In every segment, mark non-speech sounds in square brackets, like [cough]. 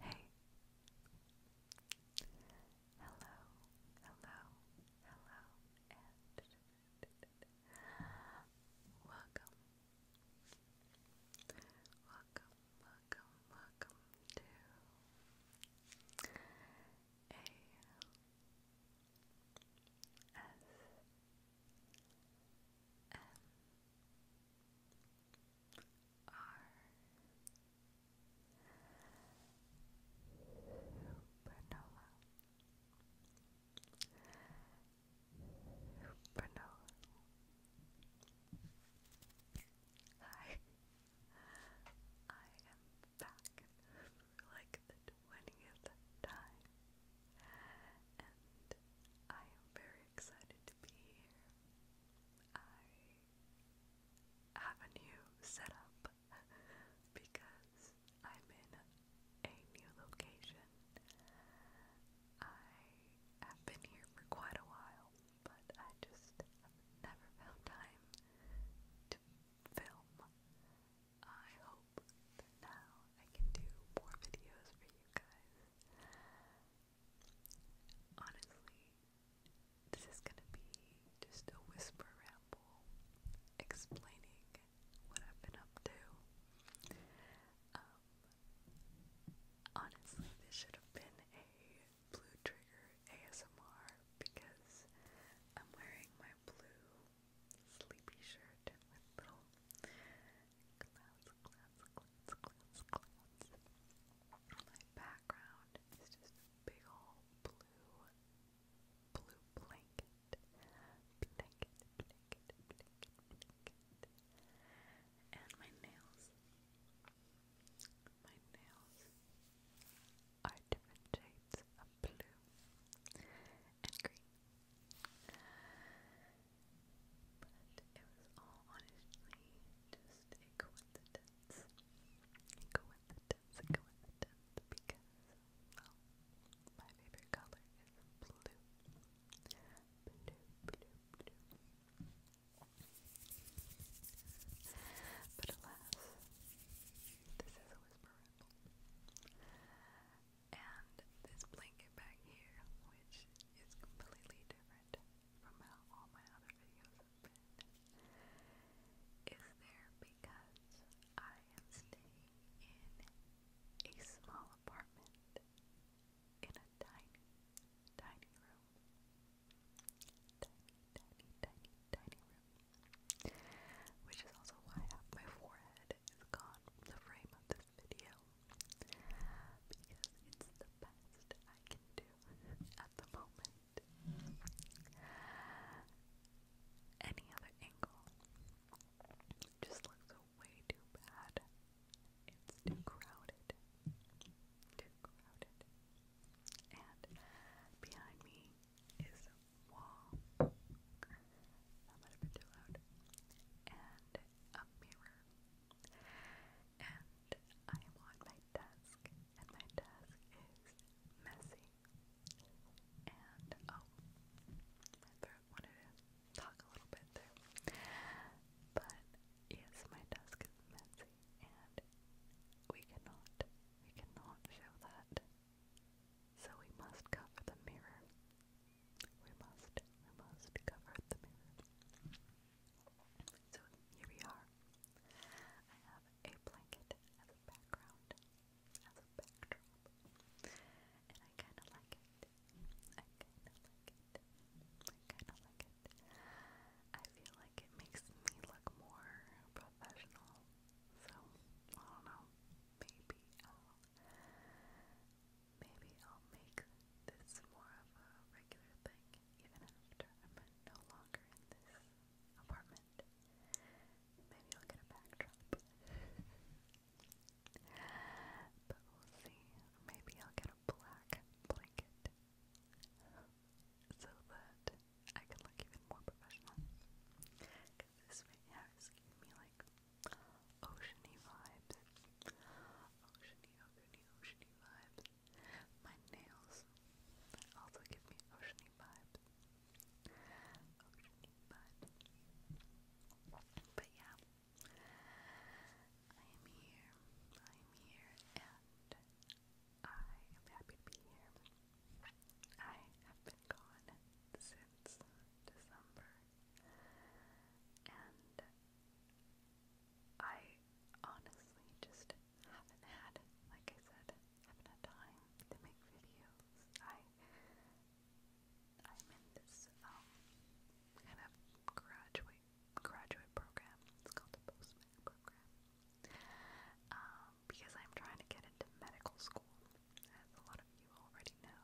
Hey. Hello, hello, hello, and welcome. Welcome, welcome, welcome to Supernova Supernova Hi I am back like the 20th time, and I am very excited to be here. I have a new setup because I'm in a new location. I have been here for quite a while, but I just never found time to film. I hope now I can do more videos for you guys. Honestly, this is gonna be just a whisper ramble explaining what I've been up to. Um, honestly, this should have been a Blue Trigger ASMR because I'm wearing my blue sleepy shirt My background is just a big old blue, blue blanket. And my nails, my nails are different shades of blue and green. But it was all honestly just coincidence. coincidence, coincidence, because, well, my favorite color is blue. But alas, this is a whisper ramble. And this blanket back here, which is completely different from how all my other videos have been, is there because I am staying in a small apartment in a tiny, tiny room room. Tiny, Which is also why my forehead is gone from the frame of this video. Because it's the best I can do at the moment. Any other angle just looks way too bad. It's too crowded. Too crowded. And behind me is a wall. That might have been too loud. And a mirror. And I am on my desk, and my desk is messy. And oh, my throat wanted to talk a little bit there. But yes, my desk is messy and we cannot, we cannot show that. So we must cover the mirror. We must, we must cover the mirror. So here we are. I have a blanket as a background, as a backdrop, and I kind of like it. I kind of like it. I kind of like it. I feel like it makes me look more professional. So, I don't know. Maybe I'll maybe I'll make this more of a regular thing even after I'm no longer in this apartment. Maybe I'll get a backdrop. [laughs] but we'll see. Maybe I'll get a black blanket so that I can look even more professional. Cause this right now giving me like oceany vibes. Oceany, oceany, oceany vibes. My nails also give me oceany vibes. Oceany vibes. But yeah. I am here. I am here and I am happy to be here. I have been gone since December, and I honestly just haven't had, like I said, haven't time to make videos. I I'm in this um, kind of graduate graduate program. It's called a post med program um, because I'm trying to get into medical school, as a lot of you already know.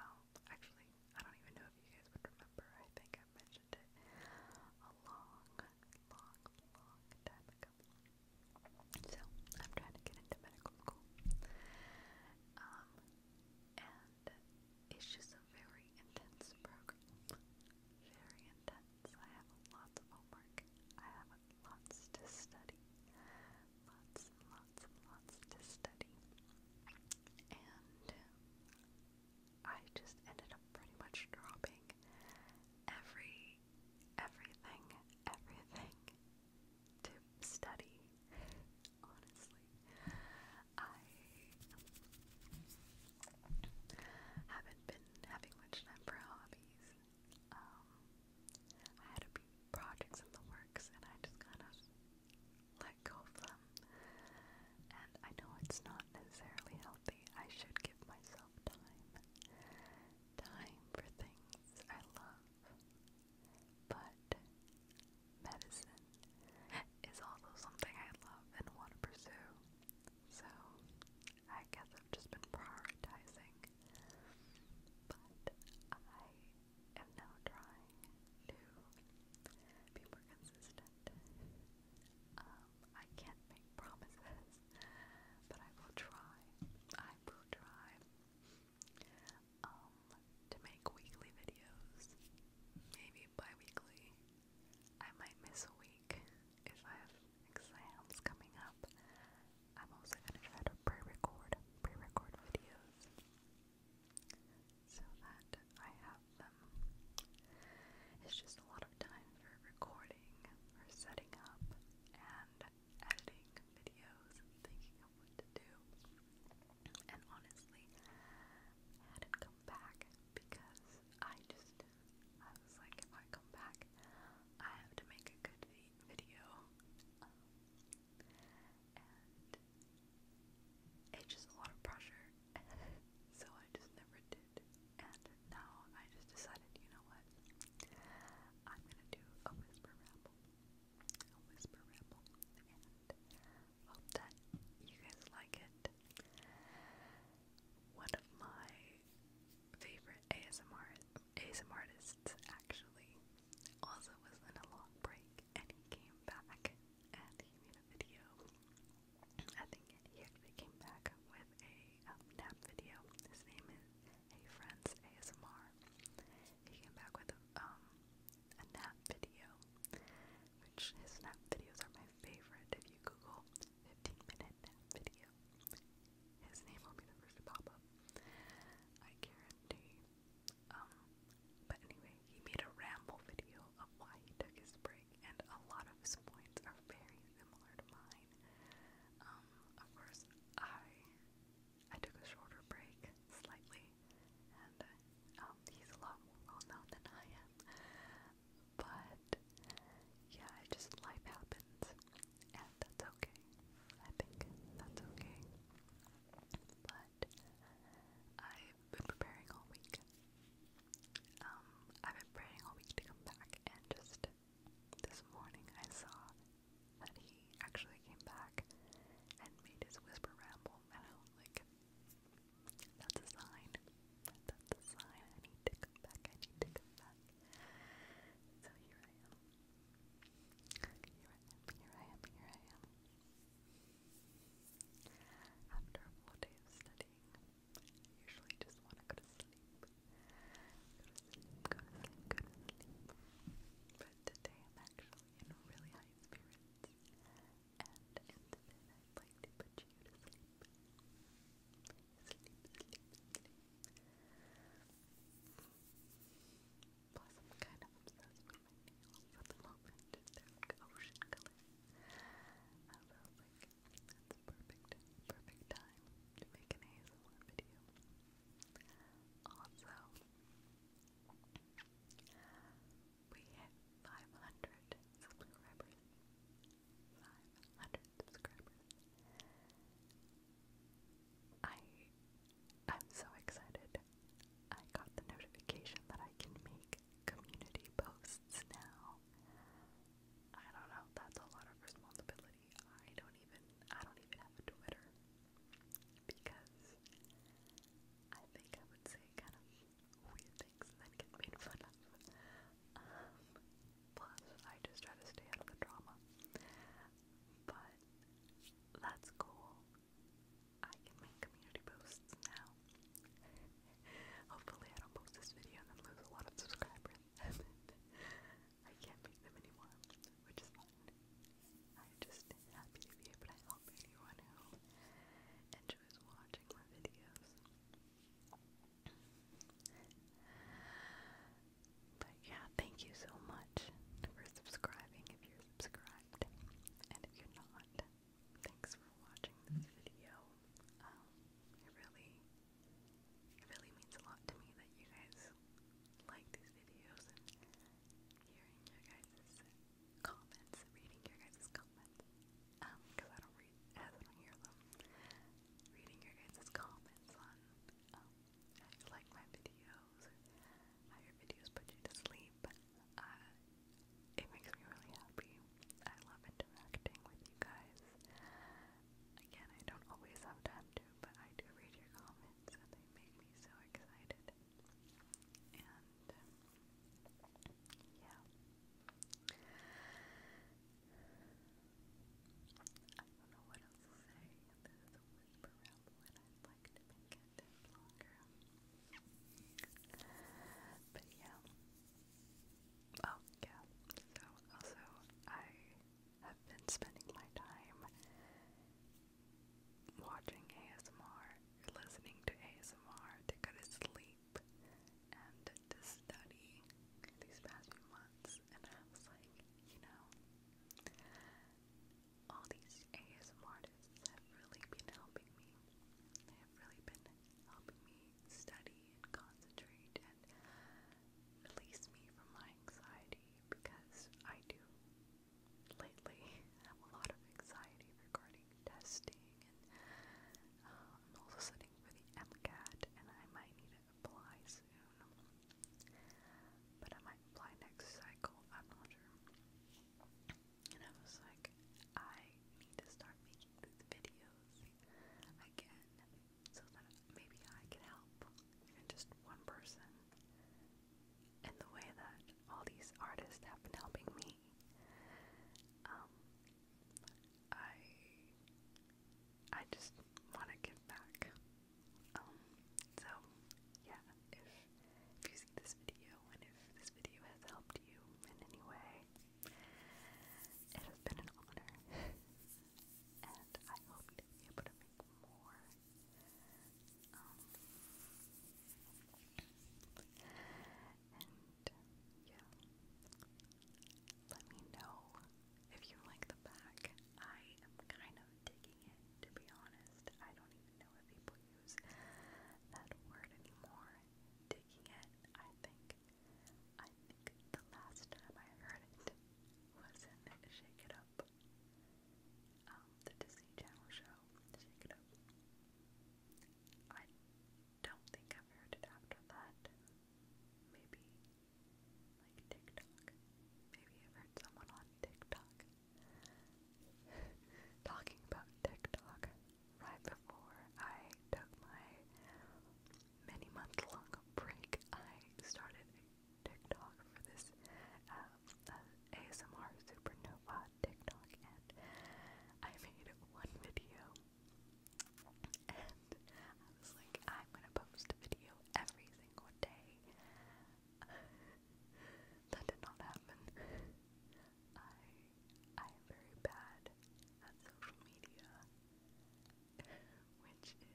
Um, actually, I don't even know if you guys would remember. I think I mentioned it a long, long, long time ago. So I'm trying to get into medical school. Um, and it's just a very intense program. Very I have lots of homework. I have lots to study. Lots lots lots to study. And um, I just ended up pretty much dropping every everything, everything to study. Honestly. I haven't been having much time for hobbies. Um, I had a few projects in the works and I just kind of let go of them. And I know it's not necessarily healthy. I should give myself time. Time for things I love. But medicine is also something I love and want to pursue. So I guess I've just been prioritizing. But I am now trying to be more consistent. Um, I can't make promises, but I will try. I will try um to make weekly videos. Maybe bi-weekly. I might miss a week if I have exams coming up. I'm also going to try to pre-record, pre-record videos so that I have them. It's just a lot of time for recording or setting up and editing videos thinking of what to do. And honestly, hadn't come back because I just I was like, if I come back, I have to make a good video. Um, and it's just a lot of pressure, [laughs] so I just never did. And now I just decided, you know what? I'm gonna do a whisper ramble, a whisper ramble, and hope that you guys like it. One of my favorite ASMR ASM artists actually also was in a long break and he came back and he made a video. I think he came back with a um, nap video. His name is Hey Friends ASMR. He came back with a, um, a nap video, which his nap videos are my favorite. If you Google 15 minute video. His name will be the first to pop up. I guarantee. Um, but anyway, he made a ramble video of why he took his break, and a lot of his points are very similar to mine. Um, of course, I I took a shorter break, slightly, and um, he's a lot more well known than I am. But yeah, I just life happens, and that's okay. I think that's okay. But I've been preparing all week. Um, I've been praying all week to come back, and just this morning I saw that he actually came back and made his whisper ramble, and I was like, that's a sign. That's a sign. I need to come back. I need to come back. So here I am. Here I am. Here I am. Here I am. After a full day of studying, I usually just want to go to sleep. Go to sleep. Go to sleep. But today I'm actually in really high spirits. And instead, I'd like to put you to sleep sleep. Plus, kind of obsessed with the moment. they like ocean color. I felt like that's a perfect, perfect time to make an ASMR video. Also, we hit 500 subscribers. 500 subscribers. I I'm so excited. I got the notification that I can make community posts now. I don't know, that's a lot of responsibility. I don't even I don't even have a Twitter because I think I would say kind of weird things and get made fun of. Um, plus, I just try to stay out of the drama. But that's cool. I can make community posts now. Hopefully, I don't post this video and lose a lot of subscribers. [laughs] I can't make them anymore, which is fine. I'm just happy to be able to help anyone who enjoys watching my videos. But yeah, thank you so much for subscribing if you're subscribed. And if you're not, thanks for watching this video. Um, it really it really means a lot to me that you guys like these videos and hearing your guys' comments, reading your guys' comments um, because I don't read I don't hear them. Reading your guys' comments on um, you like my videos how your videos put you to sleep. Uh, it makes me really happy. I love interacting with you guys. Again, I don't always have time to, but I do read your comments and they make me so excited. And yeah, I don't know what else to say. This is a whisper ramble, and I'd like to make it longer. But yeah. Oh, yeah. So, also, I have been spending my time watching ASMR, listening to ASMR to go to sleep sleep and to study these past few months, and I was like, you know, all these ASM artists have really been helping me. They have really been helping me study and concentrate and release me from my anxiety because I do lately have a lot of anxiety regarding testing I'm also studying for the MCAT, and I might need to apply soon. But I might apply next cycle, I'm not sure. And I was like, I need to start making these videos again so that maybe I can help even just one person in the way that all these artists have been helping me. Um, I I just want to give back. Um, so yeah, if if you see this video and if this video has helped you in any way, it has been an honor, [laughs] and I hope to be able to make more. Um, yeah, let me know if you like the back. I am kind of digging it, to be honest. I don't even know if people use that word anymore. Digging it, I think. I think the last time I heard it was in Shake It Up, um, the Disney Channel show. Shake It Up don't think I've heard it after that. Maybe like TikTok. Maybe i heard someone on TikTok [laughs] talking about TikTok right before I took my many month long break. I started TikTok for this uh, uh, ASMR supernova TikTok and I made one video I was like, I'm gonna post a video every single day. [laughs] that did not happen. I I am very bad at social media, which is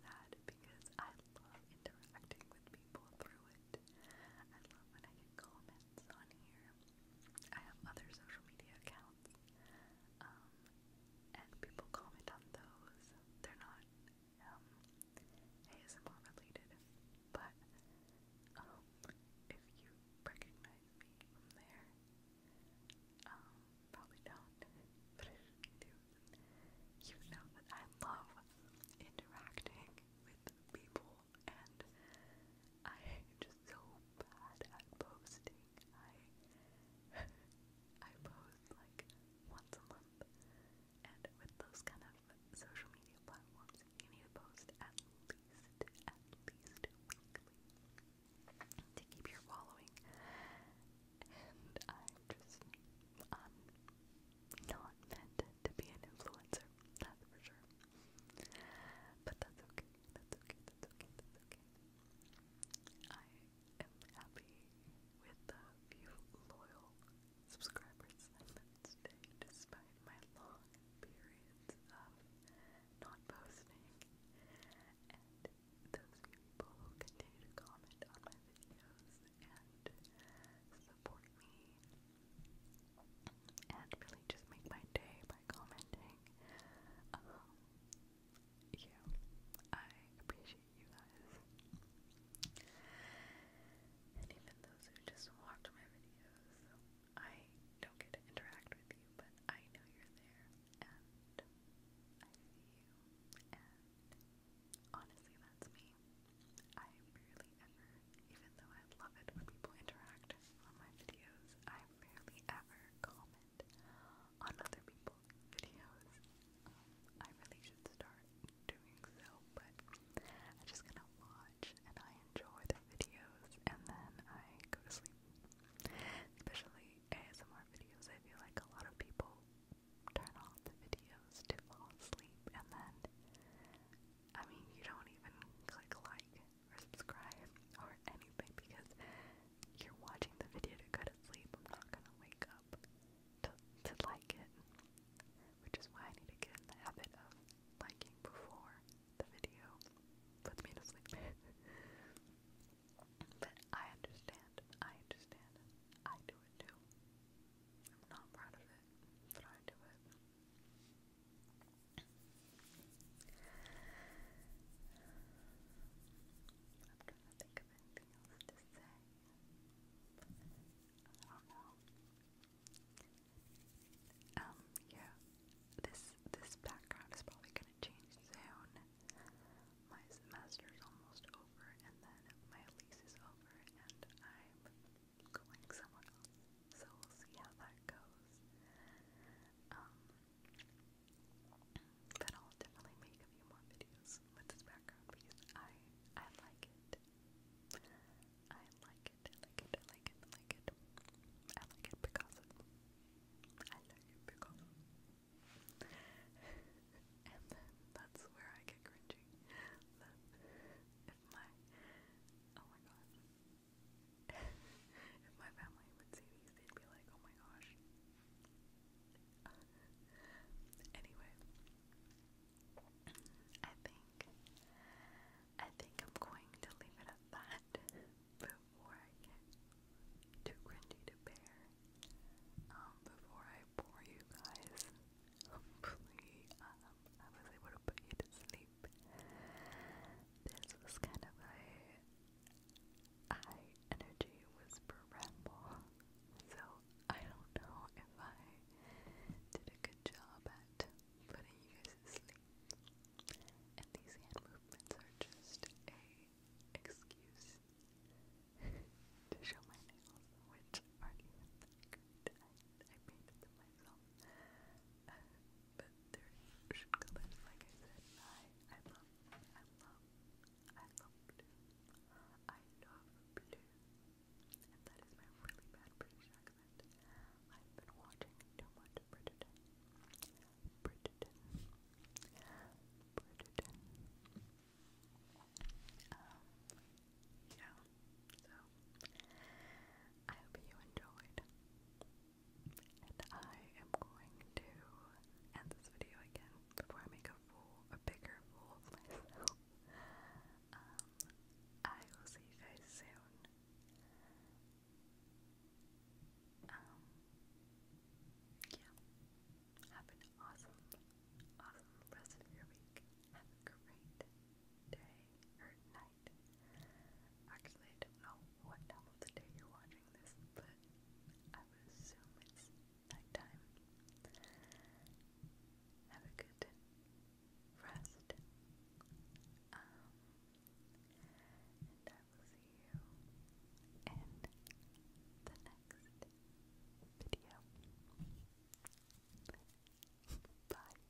sad because I love interacting with people through it. I love when I get comments accounts on here. I have other social media accounts. Um, and people comment on those. They're not um, ASMR related, but um, if you recognize me from there, probably don't, [laughs] but if you do, you know that I love interacting with people and I'm just so bad at posting. I [laughs] I post like once a month, and with those kind of social media platforms, you need to post at least at least weekly to keep your following. And I'm just i not meant to be an influencer, that's for sure. But that's okay. That's okay. That's okay. I am happy with the few loyal subscribers I met despite my long periods of not posting. And those people who continue to comment on my videos and support me and really just make my day by commenting. Um, yeah, I appreciate you guys. And even those who just watch my videos, I don't get to interact with you, but I know you're there, and I see you, and honestly, that's me. I barely ever, even though I love it when people interact on my videos, I I rarely ever comment on other people's videos. Um, I really should start doing so, but i just gonna watch and I enjoy the videos and then I go to sleep. Especially ASMR videos, I feel like a lot of people turn off the videos to fall asleep and then I mean you don't even click like or subscribe or anything because you're watching the video to go to sleep. I'm not gonna wake up to, to like it, which is why I need to get habit of liking before the video puts me to sleep. [laughs] but I understand. I understand. I do it too. I'm not proud of it, but I do it trying to think of anything else to say. I don't Um, yeah. This this background is probably gonna change soon. My semester is almost over, and then my lease is over, and I'm going somewhere else. So we'll see how that goes. Um, but I'll definitely make a few more videos with this background because I I like it. I like it. I like it. I like it. I like it. because I like it because [laughs] and then that's where I get cringing. oh my god if my family would see these, they'd be like, oh my gosh. anyway, I think I think I'm going to leave it at that before I get too cringy to bear. Um, before I bore you guys, hopefully um, I was able to put you to sleep this was kind of a energy whisper ramble, so I don't know if I did a good job at putting you guys to sleep. And these hand movements are just a excuse to show my nails, which aren't I, I them myself. Uh, but they're ocean like I said. I, I love, I love, I love I love blue. And that is my really bad British accent. I've been watching too much Bridgerton. Bridgerton. Bridgerton. Um, yeah, so I hope you enjoyed. And I am going to end this video again before I make a fool, a bigger fool of myself. [laughs] Um, I will see you guys soon. Um, yeah. Have an awesome, awesome rest of your week. Have a great day or night night. Actually, I don't know what time of the day you're watching this, but I would assume it's nighttime. Have a good rest. Um, and I will see you in the next video. Bye.